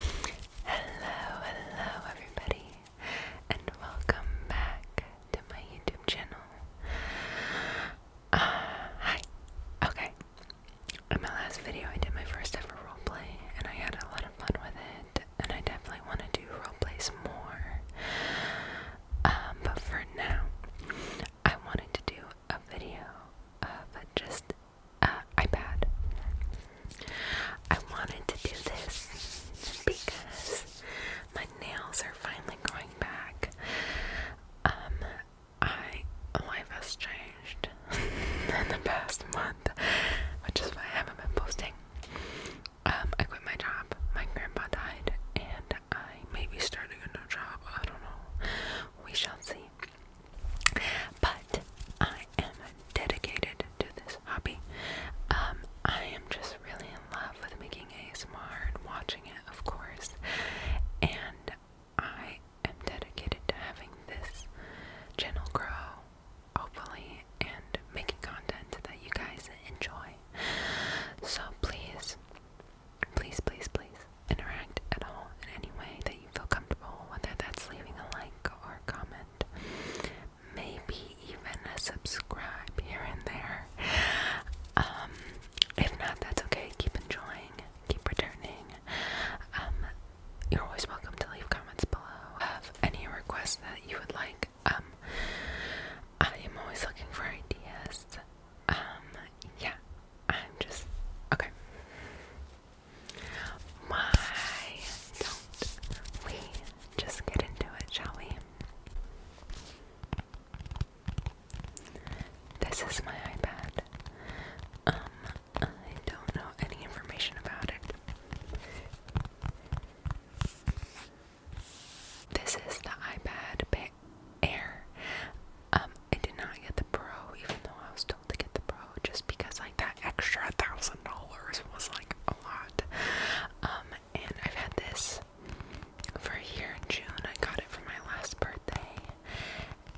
Hello, hello everybody, and welcome back to my YouTube channel. Uh, hi. Okay. In my last video, I did my first ever roleplay, and I had a lot of fun with it, and I definitely want to do roleplays more. Um, but for now, I wanted to do a video of just uh, iPad. I wanted to do this because my nails are finally growing back. Um, I life has changed in the past month, which is why I haven't been posting. Um, I quit my job. My grandpa died, and I may be starting a new job. I don't know. We shall see. But I am dedicated to this hobby. Um, I am just really in love with making ASMR and watching it, of course. And I am dedicated to having this channel grow, hopefully, and making content that you guys enjoy. So please, please, please, please interact at all in any way that feel comfortable, whether that's leaving a like or comment, maybe even a subscribe here and there. Um, if not, that's okay. Keep enjoying, keep returning. Um, you're always welcome to leave comments below of any requests that you would like. Um, I am always looking for ideas. yeah, I'm just okay. My, don't we just get into it, shall we? This is my iPad. Um, I don't know any information about it. This is the iPad Air. Um, I did not get the Pro, even though I was told to get the Pro, just because like that extra thousand dollars was like a lot. Um, and I've had this for a year in June. I got it for my last birthday,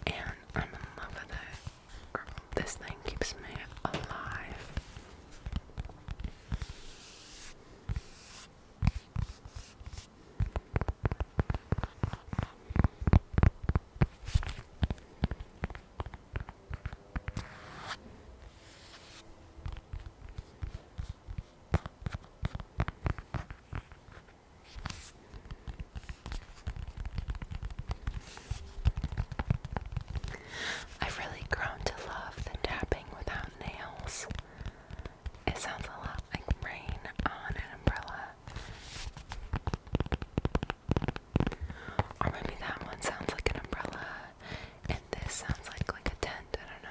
and I'm in love with it. Girl, this thing keeps me alive. I've really grown to love the tapping without nails. It sounds a lot like rain on an umbrella. Or maybe that one sounds like an umbrella and this sounds like like a tent, I don't know.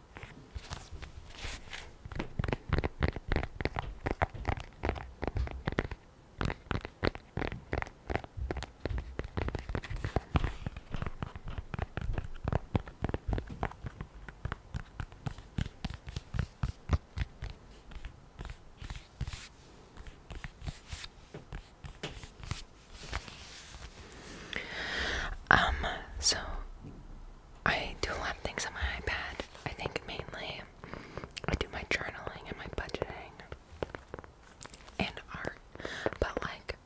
Um, so I do a lot of things on my iPad. I think mainly I do my journaling and my budgeting and art. But like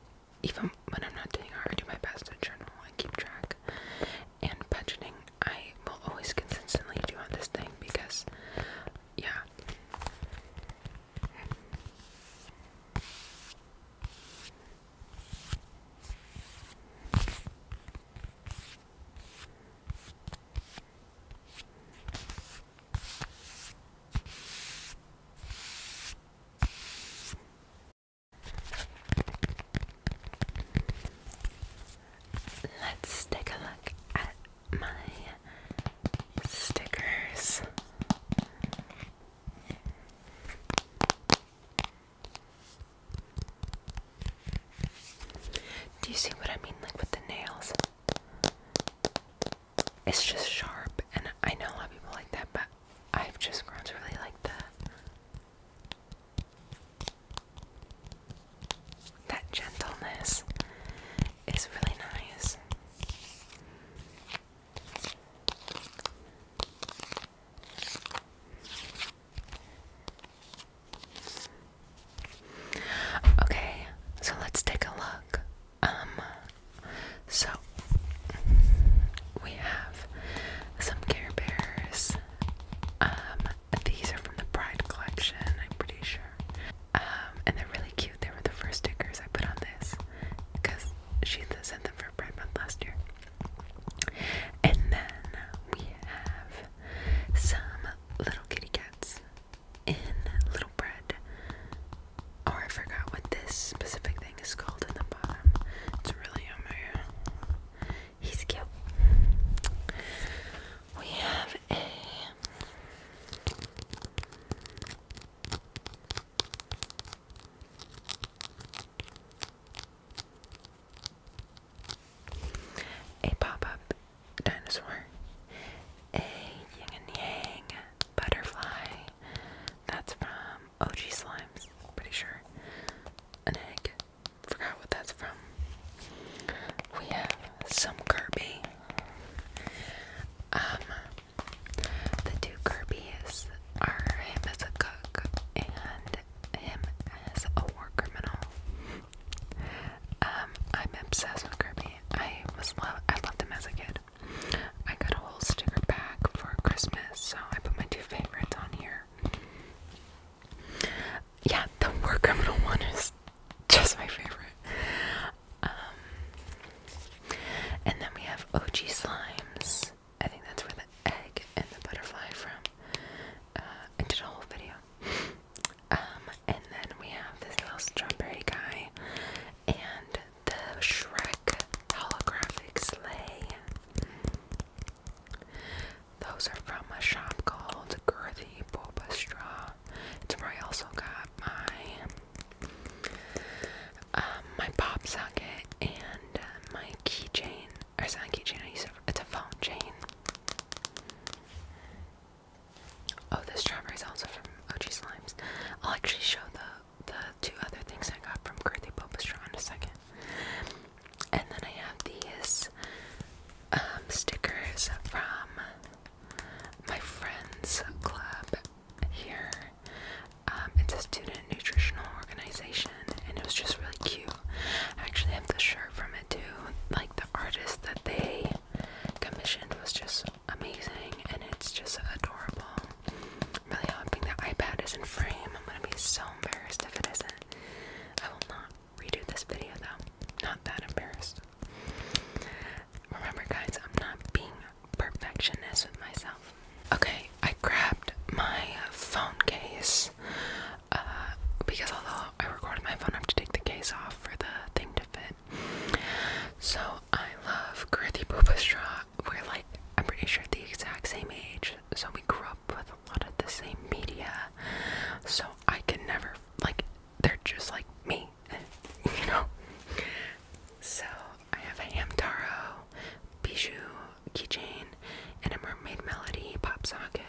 even when I'm not doing art, I do my best to journal and keep track. And budgeting I will always consistently do on this thing because yeah. Let's take a look at my stickers. Do you see what I mean? Like with the nails, it's just sharp, and I know a lot of people like that, but I've just grown to really like that. That gentleness is really nice. Okay, so let's take a look. Um, so we have some Care Bears. Um, these are from the Pride collection, I'm pretty sure. Um, and they're really cute. They were the first stickers I put on this because she sent them for Pride Month last year. And then we have some little kitty cats in little bread. Oh, I forgot what this specific thing is called in the bottom. It's really yummy. He's cute. We have a a pop-up dinosaur, a yin and yang butterfly, that's from OG Slimes, pretty sure, an egg, forgot what that's from. We have some Kirby. Um, the two Kirby's are him as a cook and him as a war criminal. Um, I'm obsessed with Kirby. I was love I loved him as a kid. I got a whole sticker pack for Christmas, so I put my two favorites on here. Yeah, the war criminal one is just my favorite. Um, and then we have OG Slimes. I think that's where the egg and the butterfly from. I did a whole video. Um, and then we have this little strawberry guy and the Shrek holographic sleigh. Those are from a shop called Girthy Boba Straw. It's where I also got my um, my pop socket and my keychain or it's not a keychain, it's a phone chain. Oh, this strawberry is also from OG Slimes. I'll actually show the the two other things I got from Girthy Bulbastro in a second. And then I have these um, stickers from my friend's club here. Um, it's a student nutritional organization, and it was just really cute. I actually have the shirt from it too. Like the artist that they commissioned was just amazing and it's just adorable. I'm really hoping the iPad is in frame. I'm gonna be so embarrassed if it isn't. I will not redo this video though. Not that embarrassed. Remember guys, I'm not being perfectionist with myself. Okay, I grabbed my phone case uh, because although I recorded my phone, I have to take the case off for the thing to fit. So I love Girthy Booba We're like, I'm pretty sure the exact same age, so we grew up with a lot of the same media. So I can never, like, they're just like me, you know? So I have a Hamtaro, Bijou, keychain, and a mermaid melody pop socket.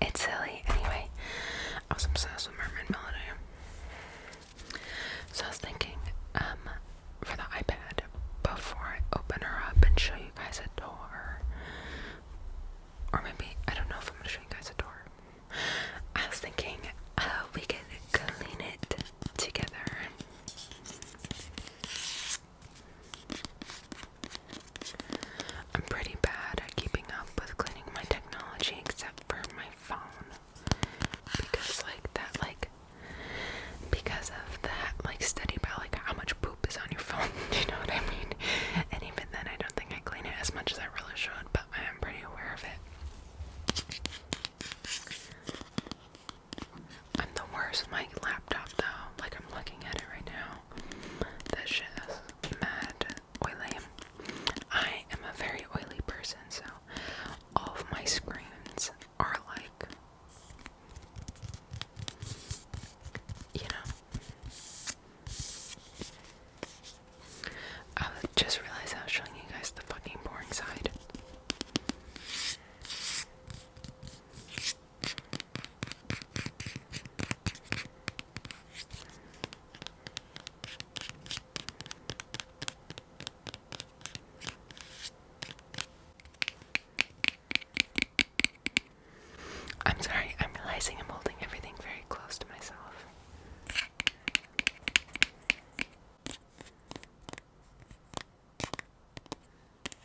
It's silly. Anyway, I was obsessed with Mermaid Melody. So I was thinking, um, for the iPad, before I open her up and show you guys a door, or maybe, I don't know if I'm gonna show you guys a door. I was thinking, uh, we could clean it together. I'm pretty bad at keeping up with cleaning my technology except for my phone. Because like that like because of that like study about like how much poop is on your phone, do you know what I mean? And even then I don't think I clean it as much as I really should, but I am pretty aware of it. I'm the worst with my laptop though. Like I'm looking at it right now. That shit is mad oily. I am a very oily person, so all of my screens are like you know. I just realized I was showing you guys the fucking boring side. I'm sorry, I'm realizing I'm holding everything very close to myself.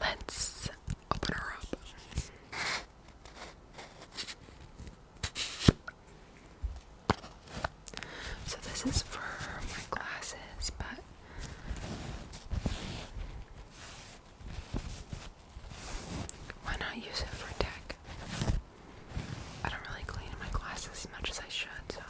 Let's open her up. So, this is for my glasses, but why not use it for tech? I don't really clean my glasses as much as I should,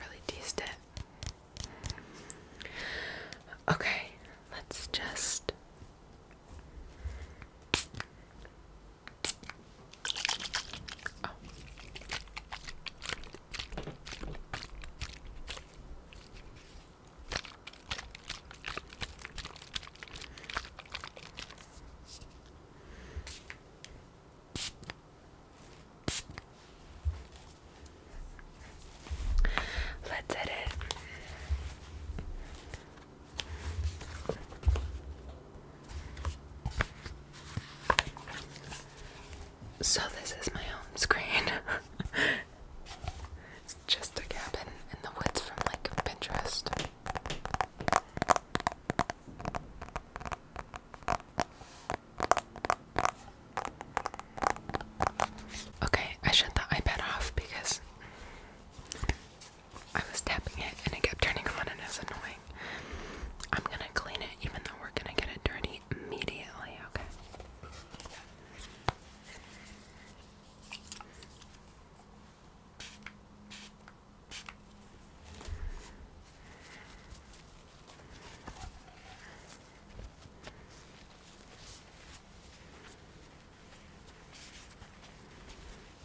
Really teased it. Okay, let's just Let's edit. So, this is my home screen. it's just a cabin in the woods from like Pinterest. Okay, I shut the iPad off because I was tapping it and it kept turning on and it was annoying. I'm gonna clean it even though we're gonna get it dirty immediately, okay?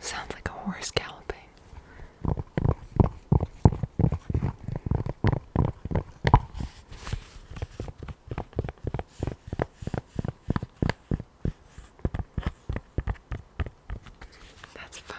Sounds like a horse galloping. That's fun.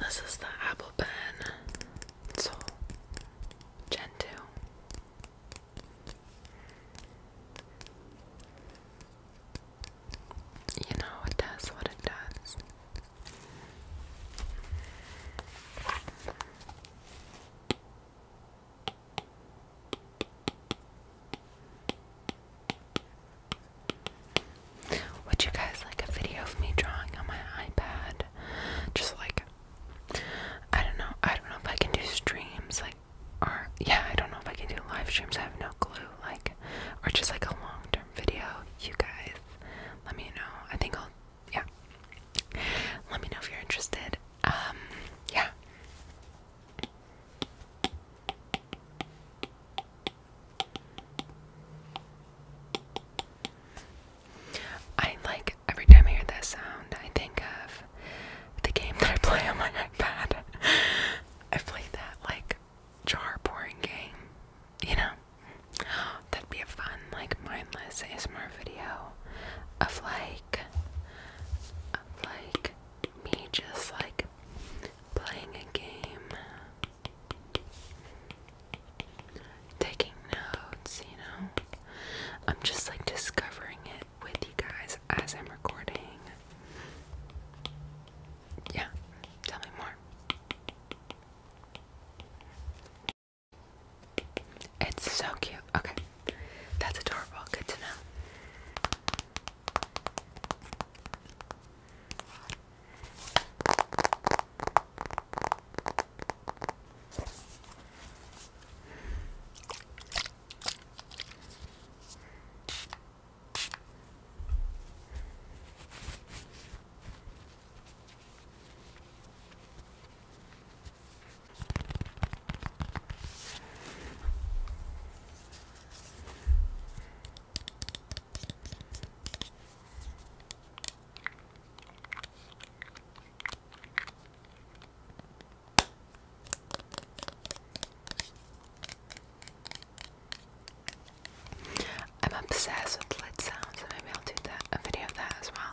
This is the Apple Pen Soul Gen 2. You know, it does what it does. Would you guys like a video of me drawing on my iPad? Just like I don't know. I don't know if I can do streams like or yeah, I don't know if I can do live streams. I have no clue. Like or just like a long-term video. You guys, let me know. I think I'll yeah. Let me know if you're interested. Um, yeah. I like every time I hear that sound, I think of the game that I play on my iPad. I play that like jar pouring game, you know? That'd be a fun like like mindless ASMR video of like of like me just like playing a game taking notes, you know. I'm just like discovering it with you guys as I'm recording. Yeah, tell me more. It's so cute. Okay. That's adorable. Good to know. I'm obsessed with lid sounds, so maybe I'll do a video of that as well.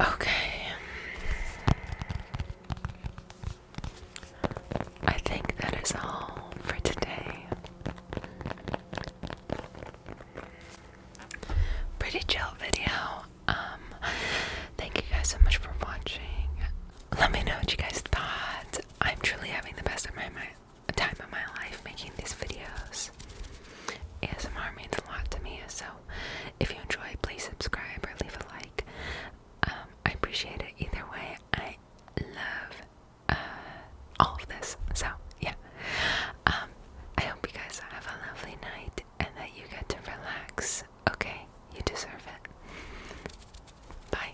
Okay. I think that is all for today. Pretty chill video. Um thank you guys so much for watching. Let me know what you guys thought. I'm truly having the best of my mind time of my life making these videos. ASMR means a lot to me, so if you enjoy, please subscribe or leave a like. Um, I appreciate it either way. I love uh, all of this. So, yeah. Um, I hope you guys have a lovely night and that you get to relax. Okay? You deserve it. Bye.